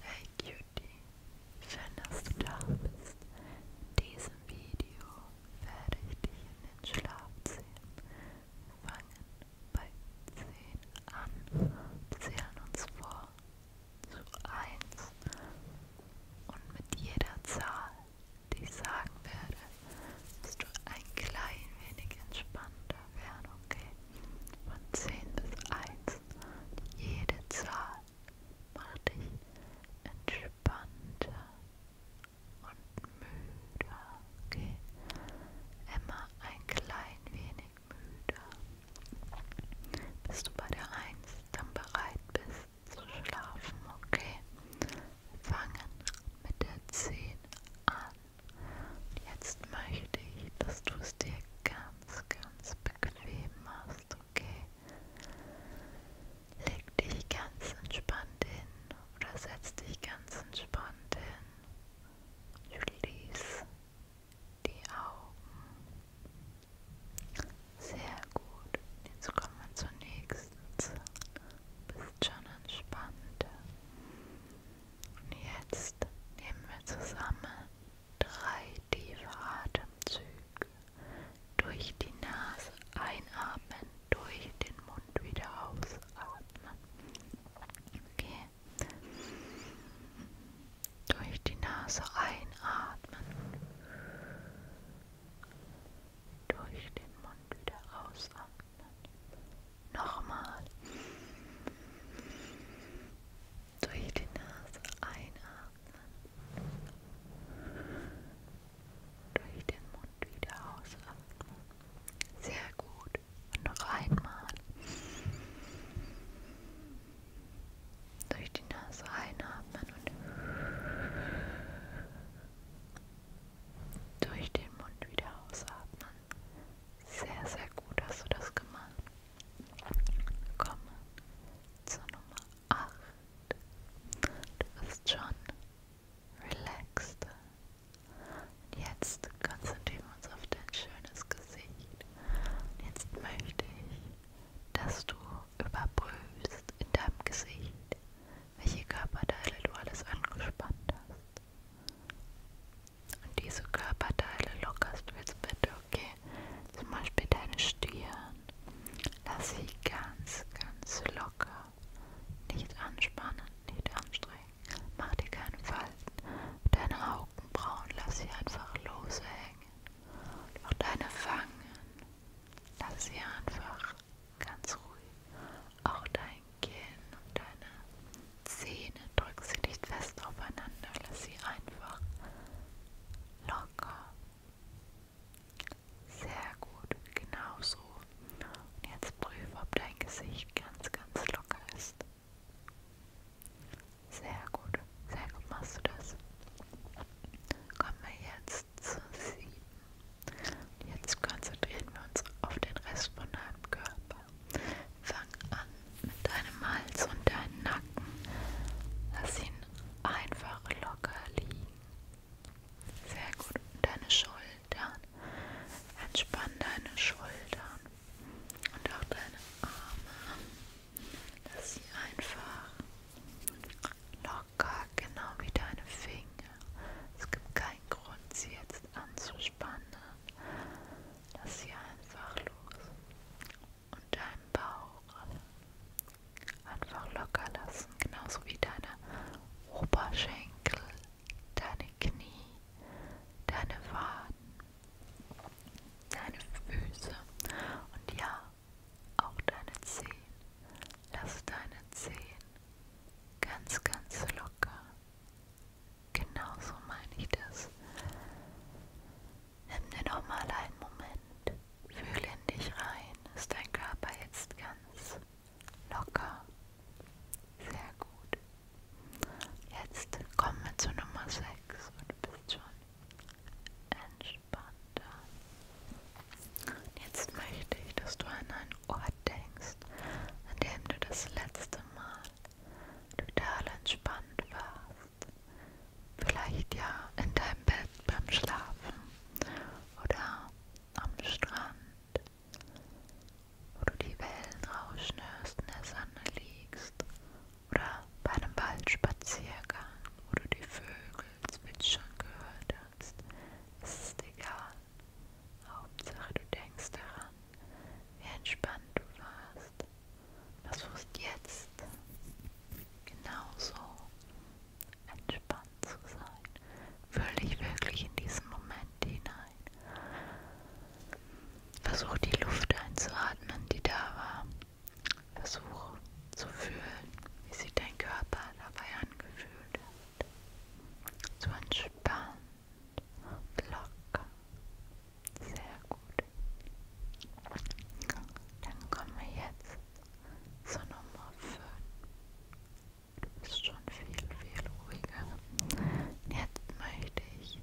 Hey Cutie, schön, dass du da bist. In diesem Video werde ich dich in den Schlaf ziehen. Wir fangen bei 10 an und zählen uns vor zu 1. Und mit jeder Zahl, die ich sagen werde, wirst du ein klein wenig entspannter werden, okay? Von 10 bis 1 jede Zahl macht dich entspannter und müder. Okay. Immer ein klein wenig müder. Bis du bei der 1 dann bereit bist zu schlafen. Okay. Fangen mit der 10 an. Und jetzt möchte ich, dass du es dir ganz ganz, ganz bequem machst, okay? Leg dich ganz entspannt hin oder setz dich ganz entspannt hin. Schließ die Augen. Sehr gut. Jetzt kommen wir zur nächsten Zelle. Bist schon entspannt. Und jetzt nehmen wir zusammen drei tiefe Atemzüge durch die Nase einatmen, durch den Mund wieder ausatmen. Okay. Durch die Nase einatmen, durch den Mund wieder ausatmen. Nochmal. Durch die Nase einatmen. Durch den Mund wieder ausatmen. Sehr gut. Und noch einmal. Durch die Nase einatmen und durch den Mund wieder ausatmen. Sehr, sehr gut hast du das gemacht. Kommen zur Nummer 8. Du bist schon relaxed. Und jetzt konzentrieren wir uns auf dein schönes Gesicht. Und jetzt möchte ich, dass du überprüfst in deinem Gesicht, welche Körperteile du alles angespannt hast und diese Körperteile lockerst du jetzt bitte, okay? Zum Beispiel deine Stirn. Lass sie ganz, ganz locker. Nicht anspannen, nicht anstrengen. Mach dir keinen Falten. Deine Augenbrauen lass sie einfach lose hängen. Und auch deine Wangen. Lass sie einfach ganz ruhig. Auch dein dein Kinn und deine Zähne. Drück sie nicht fest aufeinander, lass sie einfach locker. Sehr gut, genau so. Und jetzt prüfe, ob dein Gesicht ganz, ganz locker ist. Sehr gut, sehr gut machst du das. Kommen wir jetzt zu 7. Jetzt konzentrieren wir uns auf den Rest von deinem Körper. Fang an mit deinem Hals und deinem Nacken. Lass ihn einfach locker liegen. Sehr gut. Und deine Schultern. Entspann deine Schultern und auch deine Arme. Lass sie einfach locker, genau wie deine Finger. Es gibt keinen Grund, sie jetzt anzuspannen. Lass sie einfach los und deinen Bauch einfach locker lassen, genauso wie deine Oberschenkel, deine Knie, deine Waden, deine Füße und ja, auch deine Zehen. Lass deine Zehen ganz, ganz locker Genau so meine ich das. Nimm dir doch mal einen Moment. Fühle in dich rein. Ist dein Körper jetzt ganz locker? Sehr gut. Jetzt kommen wir zu Nummer 6 und du bist schon entspannter. Jetzt möchte ich, dass du an einen Ort denkst, an dem du das letzte Mal total entspannt warst. Vielleicht ja in deinem Bett beim Schlafen oder am Strand, wo du die Wellen rauschen hörst, in der Sonne liegst oder bei einem Waldspaziergang, wo du die Vögel zwitschern gehört hast. Es ist egal. Hauptsache, du denkst daran, wie entspannt du warst. Was ist jetzt? Genauso entspannt zu sein. Fühl dich wirklich in diesen Moment hinein. Versuch die Luft einzuatmen, die da war. Versuch zu fühlen, wie sich dein Körper dabei angefühlt hat. Zu entspannen und locker. Sehr gut. Dann kommen wir jetzt zur Nummer 5. Du bist schon viel, viel ruhiger. Jetzt möchte ich,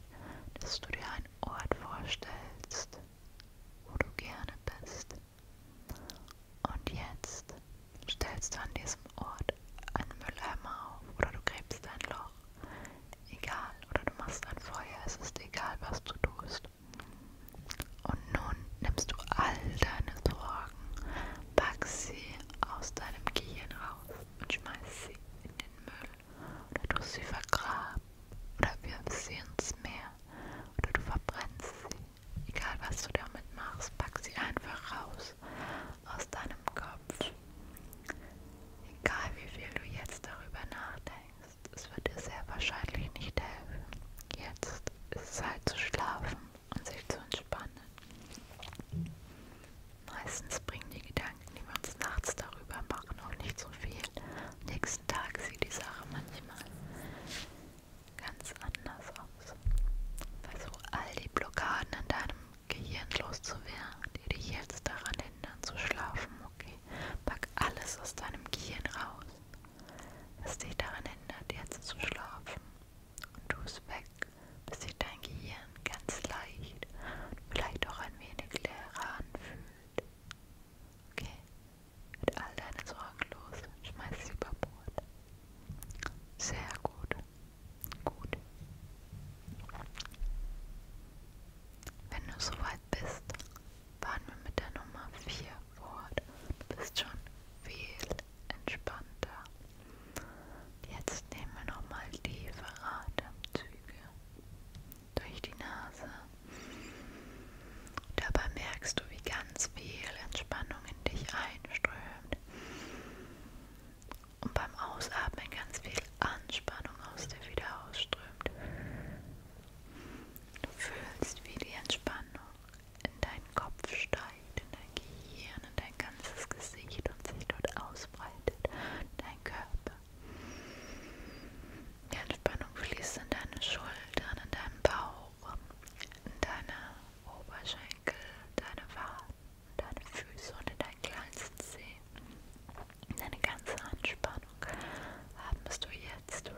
dass du dir einen Ort vorstellst, wo du gerne bist. Und jetzt stellst du an diesem Ort einen Mülleimer auf oder du gräbst ein Loch. Egal, oder du machst ein Feuer, es ist egal, was du tust. Und nun nimmst du all deine Sorgen, pack sie aus deinem Gehirn raus und schmeißt sie in den Müll. Oder du sie vergraben oder wirfst sie ins Meer oder du verbrennst sie. Egal was du damit machst, pack sie einfach raus aus deinem Kopf. Egal wie viel du jetzt darüber nachdenkst, es wird dir sehr wahrscheinlich nicht helfen. Jetzt ist es halt zu schlafen und sich zu entspannen. Meistens bringen die Gedanken, die wir uns nachts darüber machen, auch nicht so viel. Am nächsten Tag sieht die Sache manchmal ganz anders aus. Versuch all die Blockaden in deinem gehirnlos zu werden, die dich jetzt daran hindern zu schlafen, okay? Pack alles aus deinem Gehirn raus, was dich daran hindert, jetzt zu schlafen. Und tu es weg, bis sich dein Gehirn ganz leicht und vielleicht auch ein wenig leerer anfühlt. Okay? Mit all deine Sorgen los, schmeiß sie über Bord. Sehr gut. Gut. Wenn du soweit bist, fahren wir mit der Nummer 4 fort. Du bist schon viel entspannter. Jetzt nehmen wir nochmal tiefe Atemzüge durch die Nase. Dabei merkst du, wie ganz viel Entspannung in dich einströmt und beim Ausatmen ganz viel Anspannung aus dir wieder ausströmt. Du fühlst, wie die Entspannung in deinen Kopf steigt, in dein Gehirn, in dein ganzes Gesicht und sich dort ausbreitet, dein Körper. Die Entspannung fließt in deine Schultern, in deinen Bauch, in deine Oberschenkel. Schenkel, deine Waden, deine Füße und in deinen kleinsten Zehen. Deine ganze Anspannung atmest du jetzt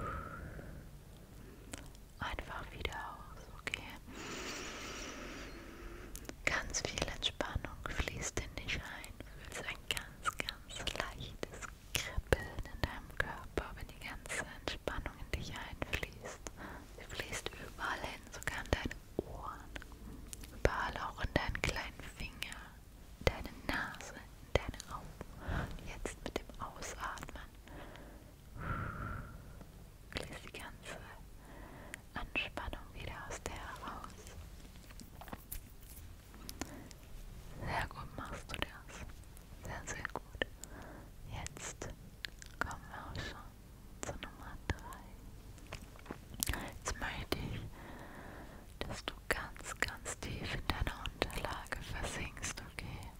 einfach wieder aus, okay? Ganz viel Entspannung fließt in dich ein. Du fühlst ein ganz, ganz leichtes Kribbeln in deinem Körper, wenn die ganze Entspannung in dich einfließt. Sie fließt überall hin, sogar an deine Ohren, überall auch in deinen kleinen Finger, deine Nase, deine Augen. Und jetzt mit dem Ausatmen fließt die ganze Anspannung wieder aus dir heraus. Sehr gut machst du das. Sehr, sehr gut. Jetzt kommen wir auch schon zur Nummer 3. Jetzt möchte ich, dass du ganz, ganz tief in deiner Unterlage versinkst, okay?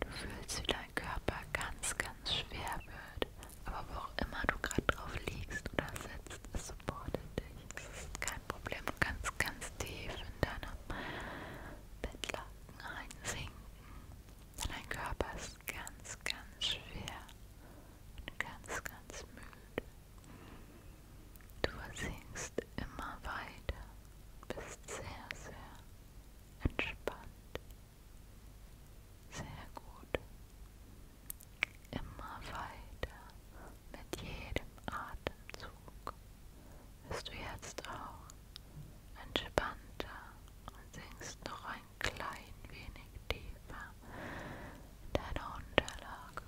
Du fühlst, wie dein Körper ganz, ganz schwer wird. Aber wo auch immer du gerade drauf liegst oder sitzt, es supportet dich. Es ist kein Problem. Du kannst ganz tief in deinem Bettlaken einsinken. Dein Körper ist ist ganz, ganz schwer und ganz, ganz müde. Du versinkst immer weiter, bist sehr, sehr entspannt. Sehr gut. Immer weiter mit jedem Atemzug wirst du jetzt auch entspannter und sinkst noch ein klein wenig tiefer in deine Unterlage.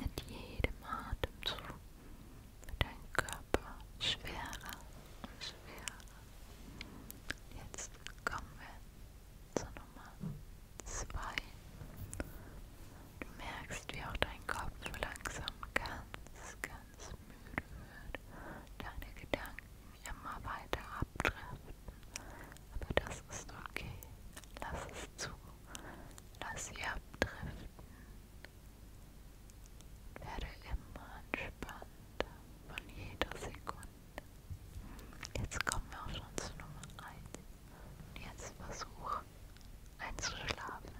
Mit jedem Atemzug wird dein Körper schwerer und schwerer. Jetzt kommen wir zur Nummer 2. Du merkst, wie auch dein Kopf langsam ganz, ganz ganz müde wird, deine Gedanken immer weiter abdriften. Aber das ist okay. Lass es zu. Lass sie abdriften. Werde immer entspannter von jeder Sekunde. Jetzt kommen wir auch schon zu Nummer 1. Und jetzt versuch einzuschlafen.